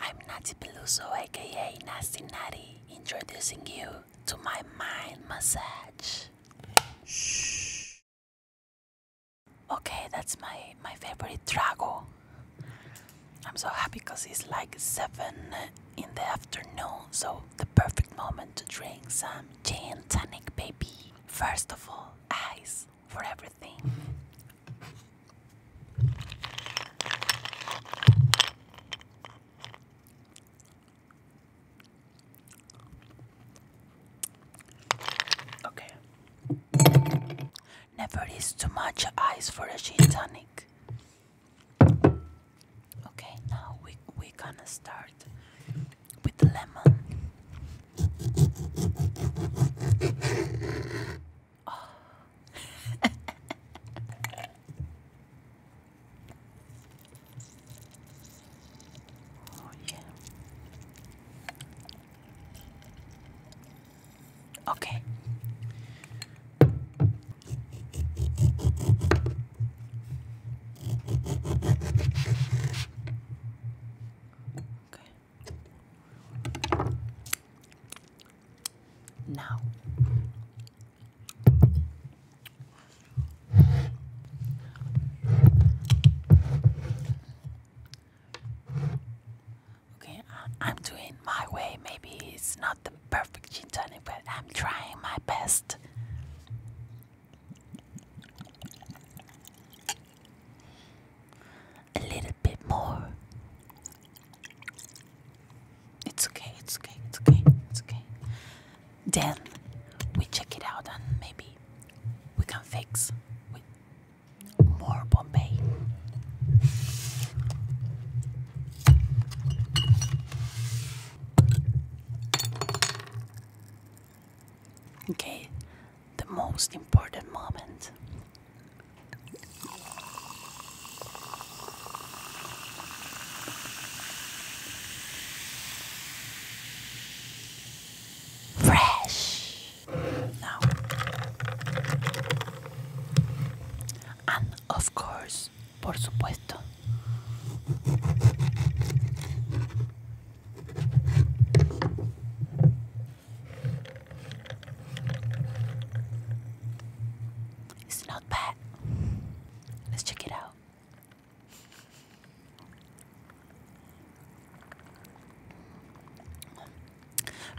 I'm Nati Peluso, aka Nasty Natty, introducing you to my mind massage. Shh. Okay, that's my, my favorite Drago. I'm so happy because it's like 7 in the afternoon, so the perfect moment to drink some gin tonic, baby. First of all, ice for everything. Okay. Never is too much ice for a gin tonic. Okay, now we we gonna start with the lemon. Oh. yeah. Okay. Okay. Now, okay, I'm doing my way. Maybe it's not the perfect gin tonic, but I'm trying my best a little bit more. It's okay, it's okay, it's okay, it's okay. Then we check it out and maybe we can fix with more Bombay. Okay, the most important moment Fresh. Now, and of course, por supuesto. It's not bad. Let's check it out.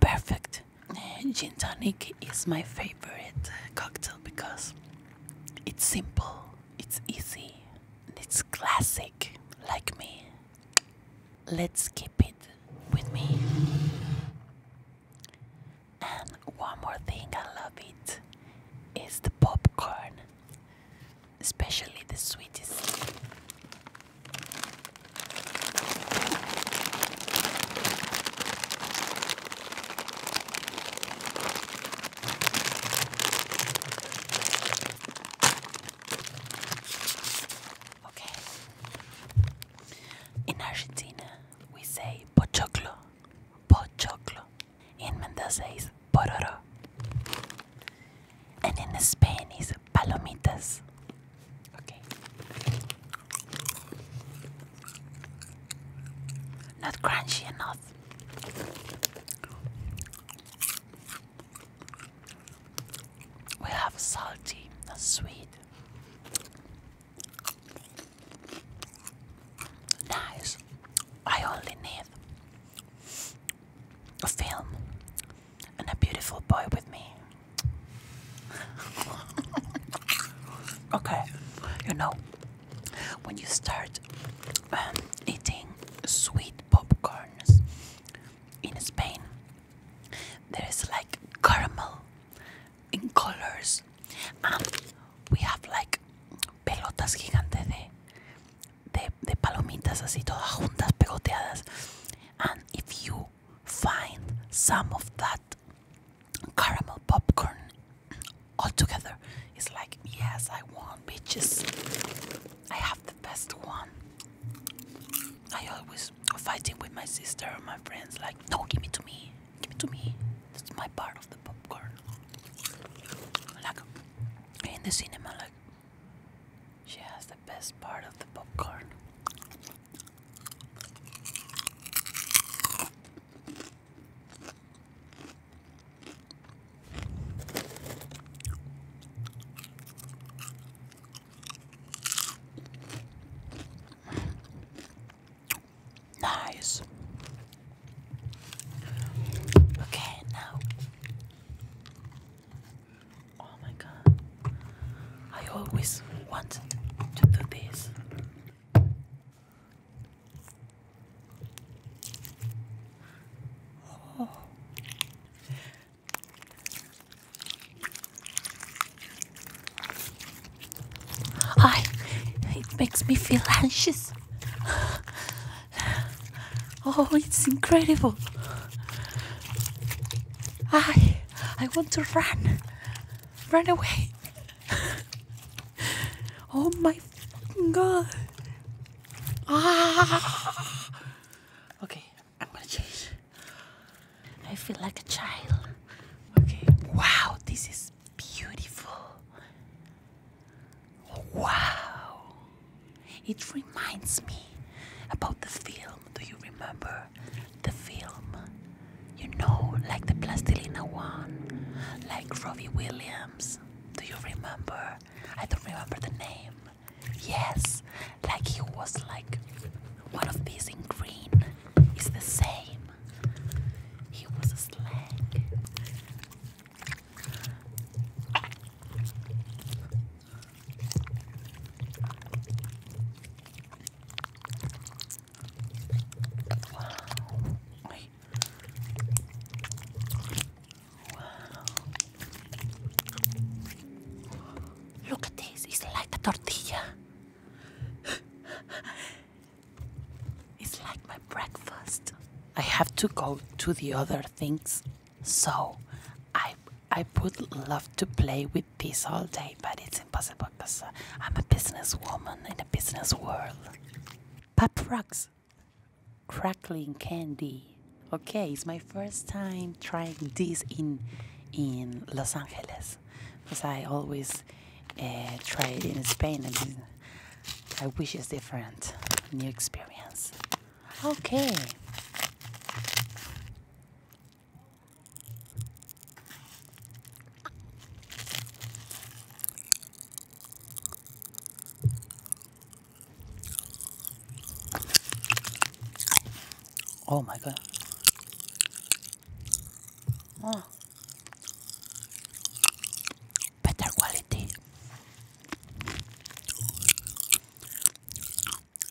Perfect. Gin tonic is my favorite cocktail because it's simple, it's easy, and it's classic, like me. Let's keep it with me. And one more thing I love it is the popcorn, especially the sweetest. Okay, in Argentina, we say pochoclo, pochoclo. In Mendoza, is pororo. And in Spain, palomitas. Okay. Not crunchy enough. We have salty, not sweet, Nice. I only need a film and a beautiful boy with me. okay, you know, when you start um, eating sweet popcorns in Spain, there is like caramel in colors. and we have like pelotas gigantes de, de, de palomitas así todas juntas pegoteadas. And if you find some of that caramel popcorn all together, it's like yes, I won, bitches. I have the best one. I always fighting with my sister or my friends, like, no, give it to me, give it to me. That's my part of the popcorn. Like in the cinema, like she has the best part of the popcorn. Nice. Okay, now. Oh my god. I always want to do this. Oh. I, it makes me feel anxious. Oh, it's incredible. I, I want to run, run away. Oh my god. Ah. Okay, I'm gonna change. I feel like a child. Okay. Wow, this is beautiful. Wow. It reminds me about the film. Do you remember the film? You know, like the Plastilina one, like Robbie Williams. Do you remember? I don't remember the name. Yes, like he was like one of these in green It's the same. He was a slag. Wow. Wait. Wow. Look at this, it's like a tortilla. it's like my breakfast. I have to go to the other things. So I I would love to play with this all day, but it's impossible because uh, I'm a business woman in a business world. Pop rocks, crackling candy. Okay, it's my first time trying this in in Los Angeles because I always eh, try it in Spain and I wish it's different, new experience. Okay. Oh my god. Mm. Better quality.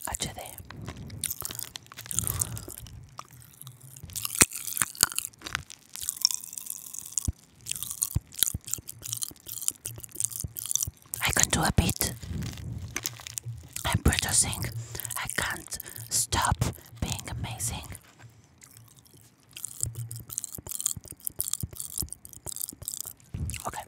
HD. I can do a bit. I'm producing. I can't Stop being amazing. Okay.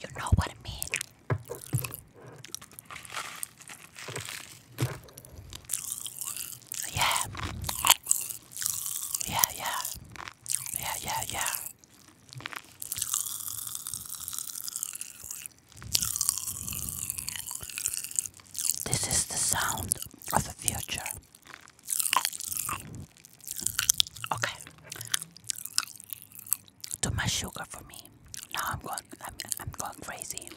You know what I mean. Yeah. Yeah, yeah. Yeah, yeah, yeah. This is the sound of the future. Okay. Too much sugar for me. Now I'm going. I'm, I'm going crazy.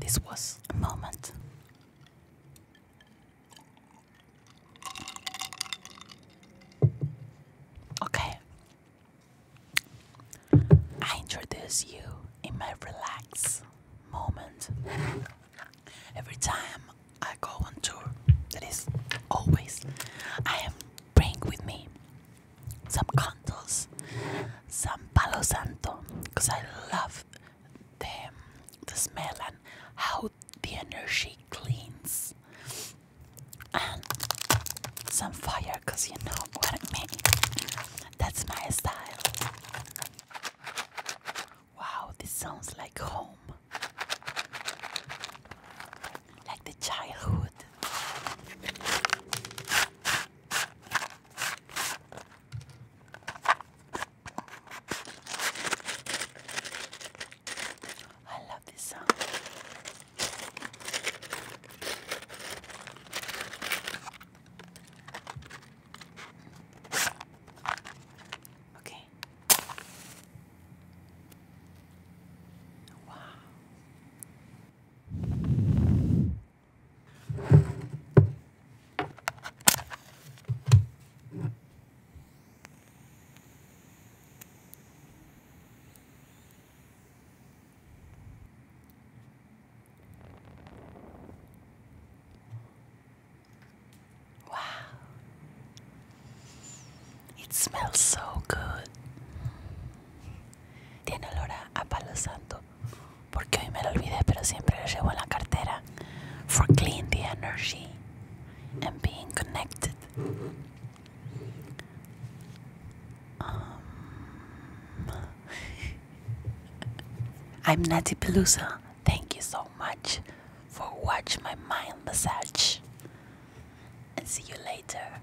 This was a moment. Okay. I introduce you in my relax moment. Every time I go on tour, that is always, I am bring with me some candles, some Palo Santo, because I love the, the smell and how the energy cleans and some fire because you know what I mean that's my style wow this sounds like home like the childhood I love this song. Okay. Wow. Wow, it smells so good. Tiene olor a santo. For clean the energy and being connected. Um, I'm Nati Pelusa. Thank you so much for watch my mind massage. And see you later.